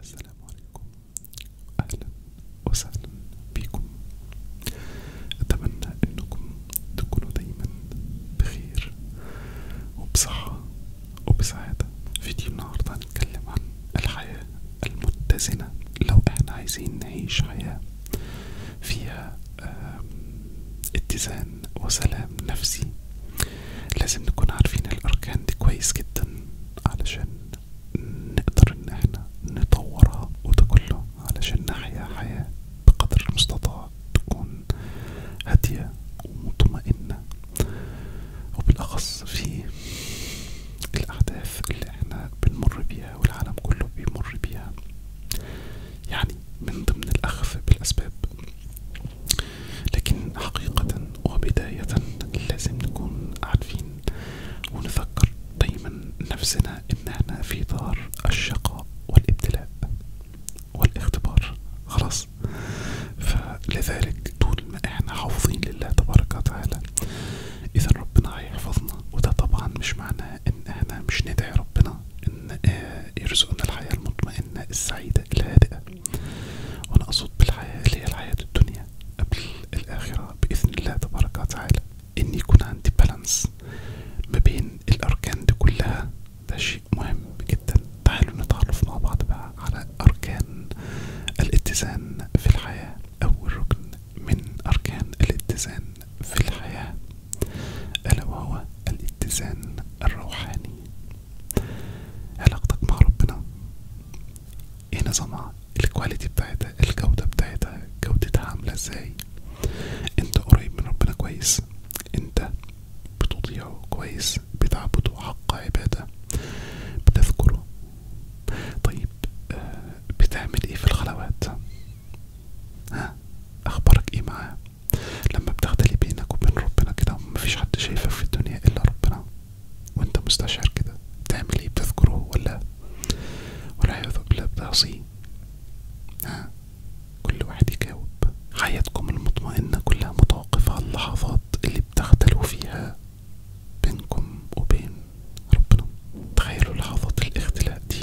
السلام عليكم أهلا وسهلا بكم أتمنى أنكم تكونوا دايما بخير وبصحة وبسعادة فيديو النهاردة هنتكلم عن الحياة المتزنة لو احنا عايزين نعيش حياة فيها اتزان وسلام نفسي لازم نكون عارفين الأركان دي كويس جدا علشان نقدر إن احنا نطورها وده كله علشان نحيا حياة بقدر المستطاع تكون هادية ومطمئنة وبالأخص في الأحداث اللي احنا بنمر بيها والعالم كله بيمر بيها يعني من ضمن الأخف بالأسباب لكن حقيقة وبداية لازم نكون عارفين ونذكر دايما نفسنا ان احنا في دار الشقاء والابتلاء والاختبار خلاص فلذلك طول ما احنا حافظين لله تبارك وتعالى اذا ربنا هيحفظنا وده طبعا مش معناه ان احنا مش ندعي ربنا ربنا ان آه، يرزقنا الحياة المطمئنة السعيدة الهادئة وانا اقصد بالحياة اللي هي الحياة الدنيا قبل الاخرة باذن الله تبارك وتعالى ان يكون عندي بالانس ما بين الاركان دي كلها ده شيء مهم جدا تعالوا نتعرف مع بعض بقى على اركان الاتزان في الحياة اول ركن من اركان الاتزان في الحياة ألا وهو الاتزان الروحاني علاقتك مع ربنا ايه نظامها الكواليتي بتاعتها الجودة بتاعتها جودتها عاملة ازاي انت قريب من ربنا كويس انت بتطيعه كويس بتعبده حق عبادة بتذكره طيب آه، بتعمل ايه في الخلوات ها اخبارك ايه معاه لما بتختلي بينك وبين ربنا كده مفيش حد شايفك في الدنيا الا ربنا وانت مستشعر كده بتعمل ايه بتذكره ولا والعياذ بالله بتعصيه ها كل واحد يجاوب حياتكم المطمئنة كلها متوقفة على اللحظات اللي بتختلوا فيها بينكم وبين ربنا تخيلوا لحظات الاختلاء دي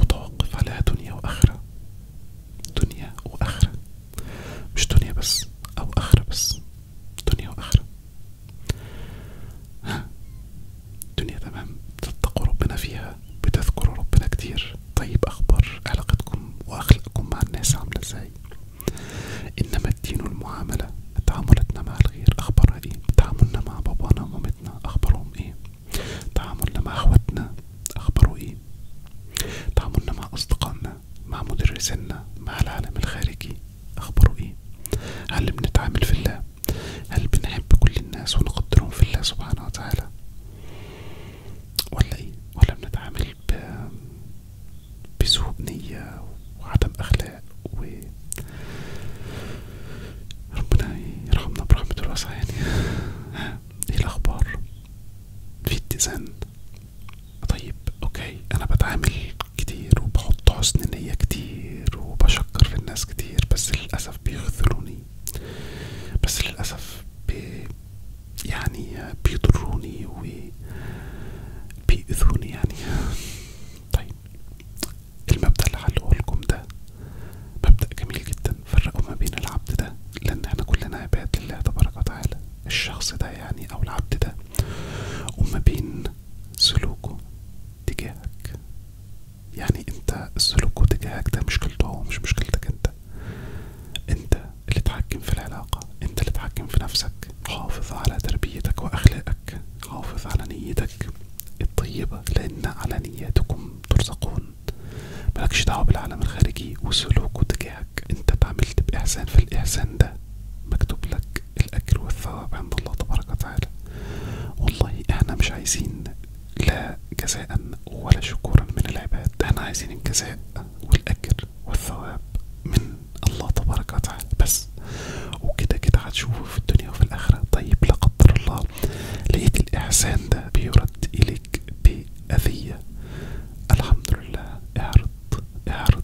متوقف عليها دنيا وآخرة دنيا وآخرة مش دنيا بس أو آخرة بس دنيا وآخرة ها دنيا تمام تتقوا ربنا فيها بتذكروا ربنا كتير طيب أخبار علاقتكم وأخلاقكم مع الناس عاملة ازاي إنما الدين والمعاملة تعاملتنا مع الغير أخبارها ايه تعاملنا مع بابانا ومامتنا أخبارهم ايه تعاملنا مع اخواتنا اخباره ايه تعاملنا مع اصدقائنا مع مدرسينا مع العالم الخارجي اخباره ايه هل بنتعامل في الله هل بنحب كل الناس ونقدرهم في الله سبحانه وتعالى ولا ايه ولا بنتعامل ب... بسوء نية وعدم اخلاق و ربنا يرحمنا برحمته الواسعة يعني ايه الاخبار في اتزان طيب اوكي انا بتعامل كتير وبحط حسن نية كتير وبشكر في الناس كتير بس للأسف بيخذلوني بس للأسف بي يعني بيضروني وبيأذوني يعني طيب المبدأ اللي هقولكم ده مبدأ جميل جدا فرقوا ما بين العبد ده لأن احنا كلنا عباد لله تبارك وتعالى الشخص ده يعني أو العبد ده وما بين سلوكه تجاهك يعني انت سلوكه تجاهك ده مشكلته هو مش مشكلتك انت انت اللي تحكم في العلاقة انت اللي تحكم في نفسك حافظ على تربيتك وأخلاقك حافظ على نيتك الطيبة لأن على نياتكم ترزقون مالكش دعوة بالعالم الخارجي وسلوكه تجاهك انت اتعاملت بإحسان في الاحسان ده مكتوب لك الأجر والثواب عند الله تبارك وتعالى والله احنا مش عايزين لا جزاء ولا شكورا من العباد احنا عايزين الجزاء والأجر والثواب من الله تبارك وتعالى بس وكده كده هتشوفه في الدنيا وفي الآخرة طيب لا قدر الله لقيت الإحسان ده بيرد إليك عليك بأذية الحمد لله اعرض اعرض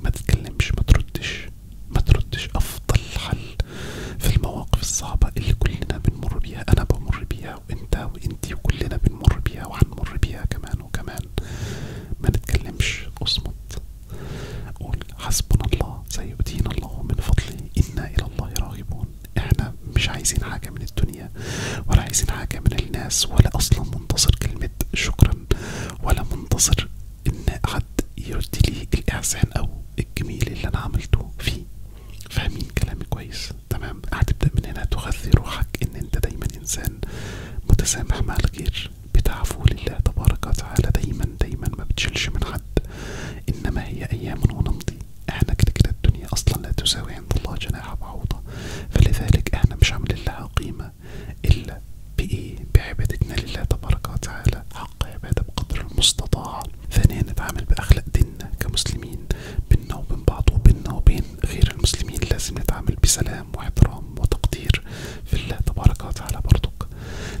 ما تتكلمش ما تردش ما تردش أفضل حل في المواقف الصعبة اللي كلنا بنمر بيها أنا بمر بيها وأنت وأنتي وكلنا بنمر بيها وهنمر بيها كمان وكمان ما نتكلمش اصمت قول حسبنا الله سيؤتينا الله من فضله إنا إلى الله راغبون احنا مش عايزين حاجة من الدنيا ولا عايزين حاجة من الناس ولا اصلا منتظر كلمة شكرا ولا منتظر ان حد يرد لي الاحسان او الجميل اللي انا عملته فيه فاهمين كلامي كويس تمام هتبدأ من هنا تغذي روحك ان انت دايما انسان متسامح مع الغير بتعفو لله تبارك وتعالى دايما دايما ما بتشيلش من حد انما هي ايام ونمضي احنا كده كده الدنيا اصلا لا تساوي عند الله جناح بعوضة فلذلك احنا مش عاملين لها قيمة الا بايه بعبادتنا لله تبارك وتعالى حق عبادة بقدر المستطاع ثانيا نتعامل باخلاق ديننا كمسلمين بينا وبين بعض وبينا وبين غير المسلمين لازم نتعامل بسلام واحترام وتقدير في الله تبارك وتعالى برضك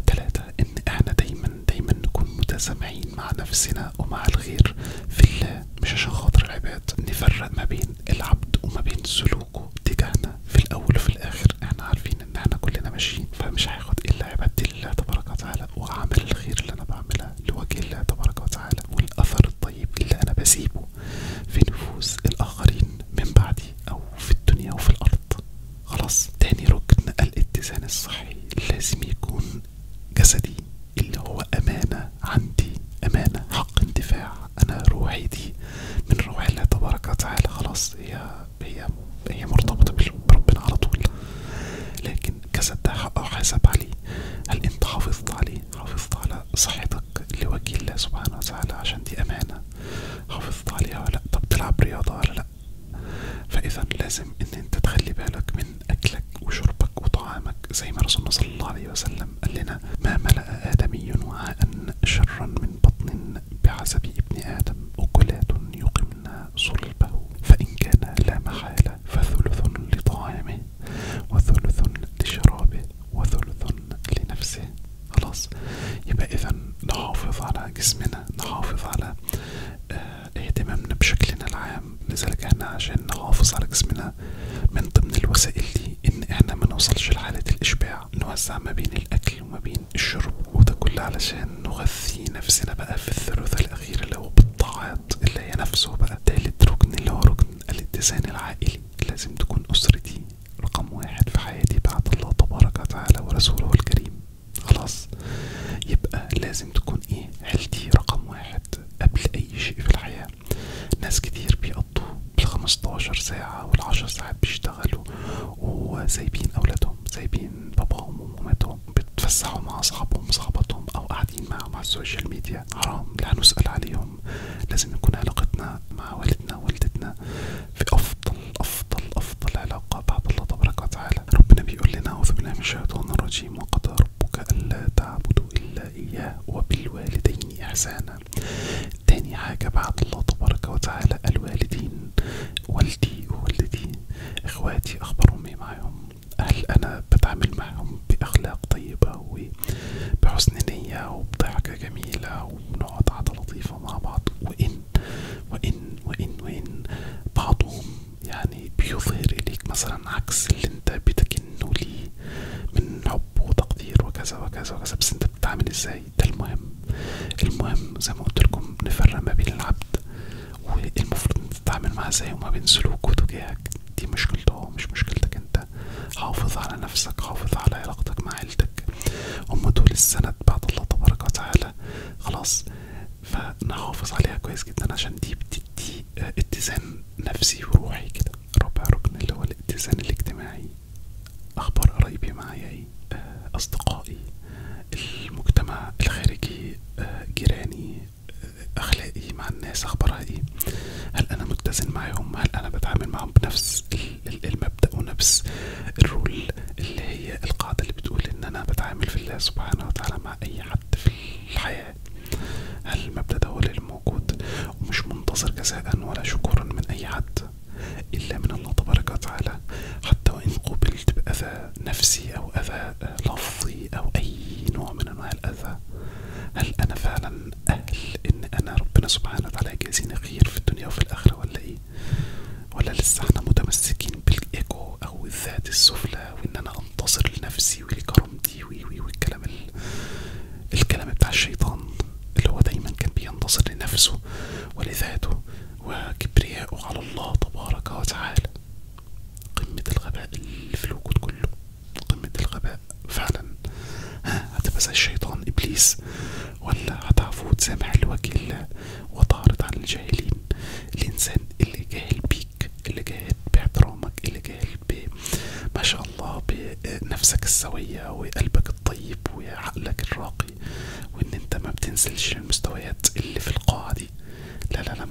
ثلاثة ان احنا دايما دايما نكون متسامحين مع نفسنا ومع الغير في الله مش عشان خاطر العباد نفرق ما بين العبد وما بين سلوكه تجاهنا في الاول وفي الاخر احنا عارفين ان احنا كلنا ماشيين فمش هاخد الا عباد الله تبارك وتعالى وعمل الخير اللي انا بعملها لوجه الله تبارك وتعالى والاثر الطيب اللي انا بسيبه في نفوس الاخرين من بعدي او في الدنيا وفي الارض خلاص تاني ركن الاتزان الصحي لازم يكون جسدي اللي هو أمانة عندي أمانة حق انتفاع أنا روحي دي من روح الله تبارك وتعالى خلاص هي هي هي مرتبطة بربنا على طول لكن جسد ده حق حساب عليه هل انت حافظت عليه حافظت على صحتك لوجه الله سبحانه وتعالى عشان دي أمانة حافظت عليها ولا لأ طب تلعب رياضة ولا لأ فإذا لازم إن أنت تخلي بالك من أكلك وشربك وطعامك زي ما رسولنا صلى الله عليه وسلم قال لنا ما ملأ آدمي وعاء شرا من بطن بحسب ابن آدم أكلات يقمن صلبه فإن كان لا محالة فثلث لطعامه وثلث لشرابه وثلث لنفسه خلاص يبقى إذا نحافظ على جسمنا نحافظ على آه اهتمامنا بشكلنا العام لذلك احنا عشان نحافظ على جسمنا من ضمن الوسائل دي ان احنا منوصلش لحالة الاشباع نوزع ما بين الاكل وما بين الشرب وده كله علشان نغذي نفسنا بقى في الثلث الاخير اللي هو بالطاعات اللي هي نفسه بقى تالت ركن اللي هو ركن الاتزان العائلي لازم تكون اسرتي رقم واحد في حياتي بعد الله تبارك وتعالى ورسوله الكريم خلاص يبقى لازم تكون ايه عيلتي رقم واحد الواحد قبل أي شيء في الحياة ناس كتير بيقضوا 15 ساعة 10 ساعات بيشتغلوا وسايبين أولادهم سايبين باباهم ومامتهم بيتفسحوا مع أصحابهم وصحباتهم أو قاعدين معهم على السوشيال ميديا حرام لا نسأل عليهم لازم يكون علاقتنا مع والدنا ووالدتنا في أفضل أفضل أفضل علاقة بعد الله تبارك وتعالى ربنا بيقول لنا أعوذ بالله من الشيطان الرجيم وقد ربك ألا تعبدوا إلا إياه وبالوالدين إحسانا تاني حاجة بعد الله تبارك وتعالى الوالدين والدي ووالدتي إخواتي أخبارهم إيه معاهم هل أنا بتعامل معهم بأخلاق طيبة وبحسن نية وبضحكة جميلة وبنقعد قعدة لطيفة مع بعض وإن وإن وإن وإن بعضهم يعني بيظهر اليك مثلا عكس اللي انت بتكنه ليه من حب وتقدير وكذا وكذا وكذا بس انت بتتعامل ازاي ده المهم المهم زي ما قلتلكم نفرق ما بين العبد والمفروض انت تتعامل معاه ازاي وما بين سلوكه وتجاهك دي مشكلته مش مشكلتك انت حافظ على نفسك حافظ على علاقتك مع عيلتك هما دول السند بعد الله تبارك وتعالى خلاص فنحافظ عليها كويس جدا عشان دي تدي اتزان نفسي وروحي كده رابع ركن اللي هو الاتزان الاجتماعي اخبار قرايبي معايا ايه اصدقائي المجتمع الخارجي آه، جيراني آه، اخلاقي مع الناس اخبارها ايه هل انا متزن معاهم هل انا بتعامل معاهم بنفس المبدا ونفس الرول اللي هي القاعده اللي بتقول ان انا بتعامل في الله سبحانه وتعالى مع اي حد في الحياه هل المبدأ ده هو اللي موجود ومش منتظر جزاء ولا شكورا من أي حد إلا من الله تبارك وتعالى حتى وإن قوبلت بأذى نفسي أو أذى لفظي أو أي نوع من أنواع الأذى هل أنا فعلا أهل إن أنا ربنا سبحانه وتعالى يجازيني خير في الدنيا وفي الآخرة ولا إيه؟ ولا لسه احنا متمسكين بالإيجو أو الذات السفلى وإن أنا انتصر لنفسي ولكرامتي وي والكلام الكلام بتاع الشيطان اللي هو دايما كان بينتصر لنفسه ولذاته وكبريائه على الله تبارك وتعالى قمة الغباء اللي في الوجود كله قمة الغباء فعلا ها هتبقى زي الشيطان ابليس ولا هتعفو وتسامح لوجه الله وتعرض عن الجاهلين الانسان اللي جاهل بيك اللي جاهد باحترامك اللي جاهد ب الله بنفسك السوية وقلبك الطيب وعقلك الراقي وان انت ما بتنزلش اللي في القاعة دي لا لا لا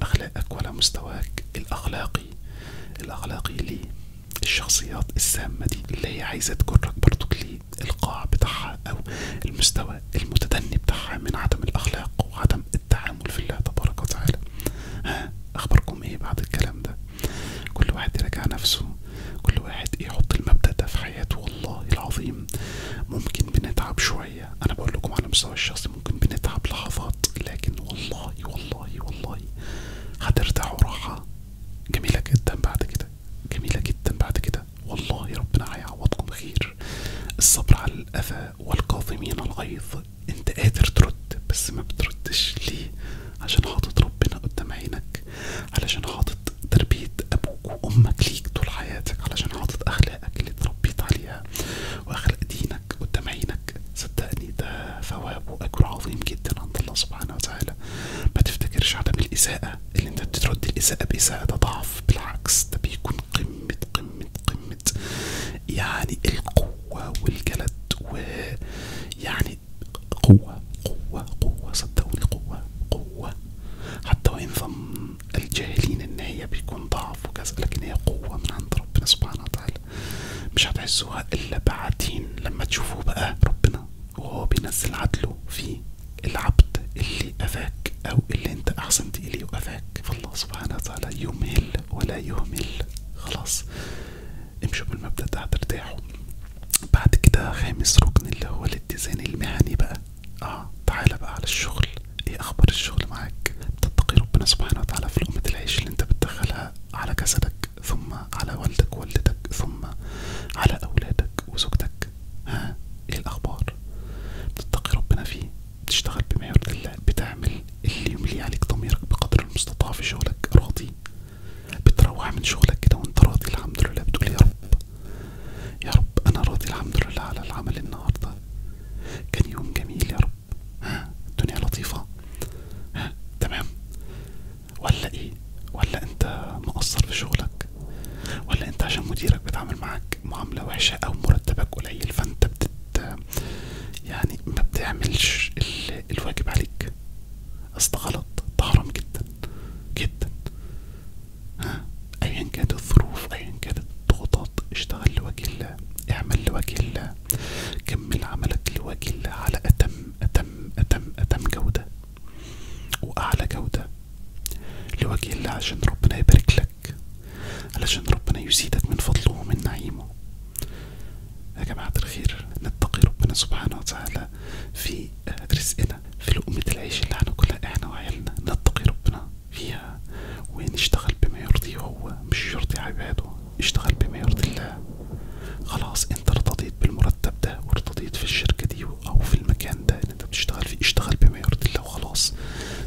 باخلاقك ولا مستواك الاخلاقي الاخلاقي ليه الشخصيات السامة دي اللي هي عايزة تجرك برضك ليه القاع بتاعها او المستوى المتدني بتاعها من عدم الاخلاق وعدم التعامل في الله تبارك وتعالى ها أخبركم إيه بعد الكلام ده كل واحد يراجع نفسه كل واحد يحط المبدأ ده في حياته والله العظيم ممكن بنتعب شوية أنا بقول لكم على مستوى الشخصي ممكن بنتعب لحظات لكن والله والله والله هترتاحوا راحة جميلة جدا بعد كده جميلة جدا بعد كده والله ربنا هيعوضكم خير الصبر على الأذى والكاظمين الغيظ انت قادر ترد بس ما ليه عشان حاطط ربنا قدام عينك علشان حاطط تربية ابوك وامك ليك طول حياتك علشان حاطط اخلاقك اللي اتربيت عليها واخلاق دينك قدام عينك صدقني ده ثواب واجر عظيم جدا عند الله سبحانه وتعالى ما عدم الاساءة اللي انت بترد الاساءة باساءة ده ضعف بالعكس ده بيكون قمة قمة قمة يعني القوة والجلد ويعني قوة قوة قوة صدقوني قوة قوة حتى وإن ظن الجاهلين إن هي بيكون ضعف وكذا لكن هي قوة من عند ربنا سبحانه وتعالى مش هتحسوها إلا بعدين لما تشوفوا بقى ربنا وهو بينزل عدله في العبد اللي أفاك أو اللي أنت أحسنت إليه وأفاك فالله سبحانه وتعالى يمهل ولا يهمل خلاص امشوا بالمبدأ ده هترتاحوا بعد كده خامس ركن اللي هو الاتزان المهني بقى اه تعالى بقى على الشغل ايه اخبار الشغل معاك بتتقي ربنا سبحانه وتعالى في لقمة العيش اللي انت بتدخلها على جسدك ثم على والدك ووالدتك ثم على اولادك وزوجتك ها ايه الاخبار بتتقي ربنا فيه بتشتغل يرضي الله بتعمل اللي يملي عليك ضميرك بقدر المستطاع في شغلك راضي بتروح من شغلك كده وانت راضي الحمد لله بتقول يا رب يا رب انا راضي الحمد لله على العمل النهارده كان يوم جميل يا رب ها الدنيا لطيفة ها تمام ولا ايه ولا انت مقصر في شغلك ولا انت عشان مديرك بيتعامل معاك معاملة وحشة او مرتبك قليل فانت بتت يعني ما بتعملش الواجب عليك اصل غلط ده حرام جدا جدا ايا كانت الظروف ايا كانت الضغوطات اشتغل لوجه الله اعمل لوجه الله كمل عملك لوجه الله على اتم اتم اتم اتم جودة واعلى جودة لوجه الله عشان ربنا يبارك لك لك علشان ربنا يزيدك من فضله ومن نعيمه يا جماعة الخير نتقي ربنا سبحانه وتعالى في رزقنا في لقمة العيش اللي هناكلها احنا وعيالنا نتقي ربنا فيها ونشتغل بما يرضيه هو مش يرضي عباده اشتغل بما يرضي الله خلاص انت ارتضيت بالمرتب ده وارتضيت في الشركة دي او في المكان ده ان انت بتشتغل فيه اشتغل بما يرضي الله وخلاص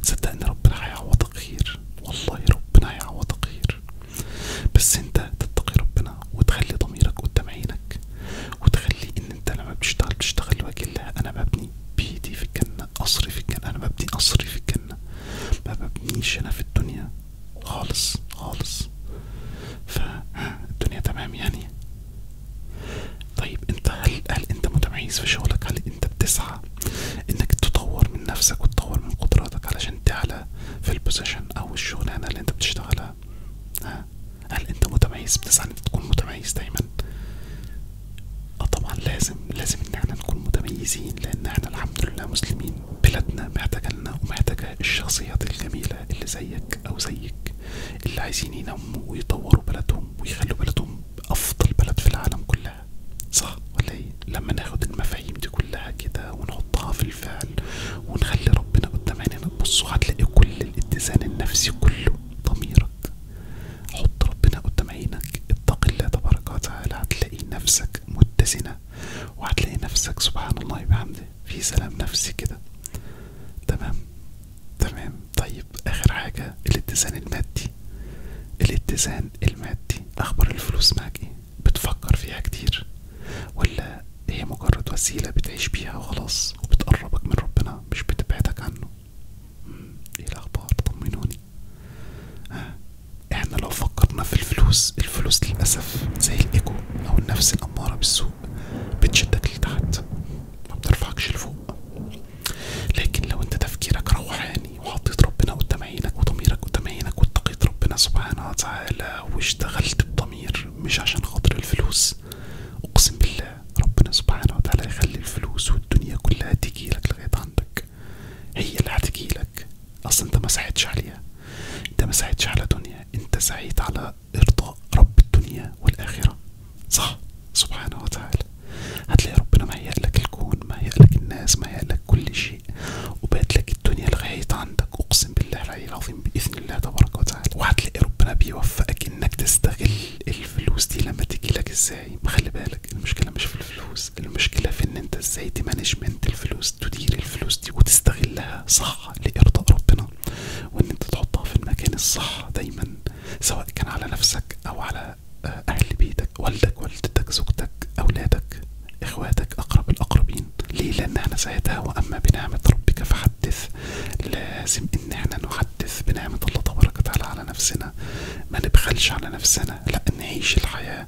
صدقني ربنا هيعوضك خير والله ربنا هيعوضك خير بس انت تتقي ربنا وتخلي ضميرك قدام عينك وتخلي ان انت لما بتشتغل بتشتغل لوجه الله انا ببني بيتي في الجنة قصري في الجنة انا ببني قصري في الجنة ما ببنيش انا في الدنيا خالص خالص فالدنيا تمام يعني طيب انت هل هل انت متميز في شغلك هل انت بتسعى انك تطور من نفسك وتطور من قدراتك علشان تعلى في البوزيشن او الشغلانه اللي انت بتشتغلها ها هل انت متميز بتسعى انك تكون متميز دايما اه طبعا لازم لازم ان احنا نكون متميزين لان احنا الحمد لله مسلمين بلادنا محتاجه لنا ومحتاجه الشخصيات الجميله اللي زيك او زيك اللي عايزين ينموا ويطوروا بلدهم ويخلوا بلدهم افضل بلد في العالم كله كلها صح ولا ايه لما ناخد المفاهيم دي كلها كده ونحطها في الفعل ونخلي ربنا قدام عينينا تبصوا هتلاقي كل الاتزان النفسي كله ضميرك حط ربنا قدام عينك اتق الله تبارك وتعالى هتلاقي نفسك متزنه وهتلاقي نفسك سبحان الله بحمده في سلام نفسي كده تمام تمام طيب اخر حاجه الاتزان المادي الاتزان المادي اخبار الفلوس معاك ايه بتفكر فيها كتير ولا هي مجرد وسيله بتعيش بيها وخلاص وبتقربك من ربنا مش بتبعدك عنه ايه الاخبار طمنوني آه، احنا لو فكرنا في الفلوس الفلوس للاسف زي الايجو او النفس الاماره بالسوء بتشدك لتحت ما بترفعكش لفوق لكن لو انت تفكيرك روحاني يعني وحطيت ربنا قدام عينك وضميرك قدام عينك واتقيت ربنا سبحانه وتعالى واشتغلت بضمير مش عشان خاطر الفلوس اقسم بالله ربنا سبحانه وتعالى يخلي الفلوس والدنيا كلها تجيلك لغايه عندك هي اللي هتجيلك اصلا انت ما ساعدتش عليها انت ما ساعدتش على دنيا انت سعيت على ارضاء رب الدنيا والاخره صح سبحانه وتعالى هتلاقي ربنا مهيألك الكون مهيألك الناس مهيألك كل شيء شيء وبات لك الدنيا الغاية عندك اقسم بالله العلي العظيم باذن الله تبارك وتعالى وهتلاقي ربنا بيوفقك انك تستغل الفلوس دي لما تجي لك ازاي خلي بالك المشكله مش في الفلوس المشكله في ان انت ازاي تمانجمنت الفلوس تدير الفلوس دي وتستغلها صح لارضاء ربنا وان انت تحطها في المكان الصح دايما سواء كان على نفسك او على أهل بيتك والدك والدتك زوجتك أولادك إخواتك أقرب الأقربين ليه لأن احنا ساعتها وأما بنعمة ربك فحدث لازم إن احنا نحدث بنعمة الله تبارك وتعالى على نفسنا ما نبخلش على نفسنا لأ نعيش الحياة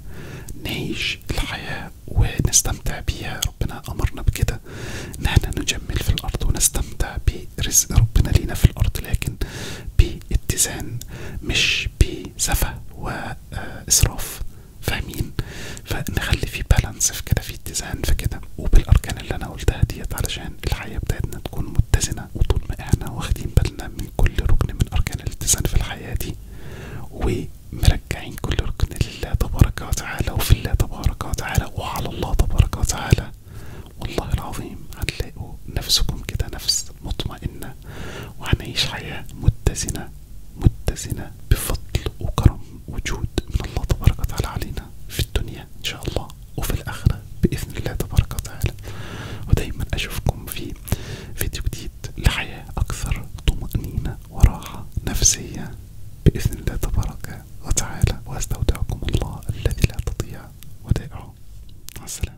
نعيش الحياة ونستمتع بيها ربنا أمرنا بكده إن احنا نجمل في الأرض ونستمتع برزق ربنا لينا في الأرض لكن باتزان مش ب سفه واسراف آه، فاهمين فنخلي في بالانس في كده في اتزان في كده وبالاركان اللي انا قلتها ديت علشان الحياه بتاعتنا تكون متزنه وطول ما احنا واخدين بالنا من كل ركن من اركان الاتزان في الحياه دي ومرجعين كل ركن لله تبارك وتعالى وفي الله تبارك وتعالى وعلى الله تبارك وتعالى والله العظيم هتلاقوا نفسكم كده نفس مطمئنة وهنعيش حياة متزنة متزنة بفضل وكرم وجود من الله تبارك وتعالى علينا في الدنيا إن شاء الله وفي الآخرة بإذن الله تبارك وتعالى ودايما أشوفكم في فيديو جديد لحياة أكثر طمأنينة وراحة نفسية بإذن الله تبارك وتعالى وأستودعكم الله الذي لا تضيع ودائعه مع السلامة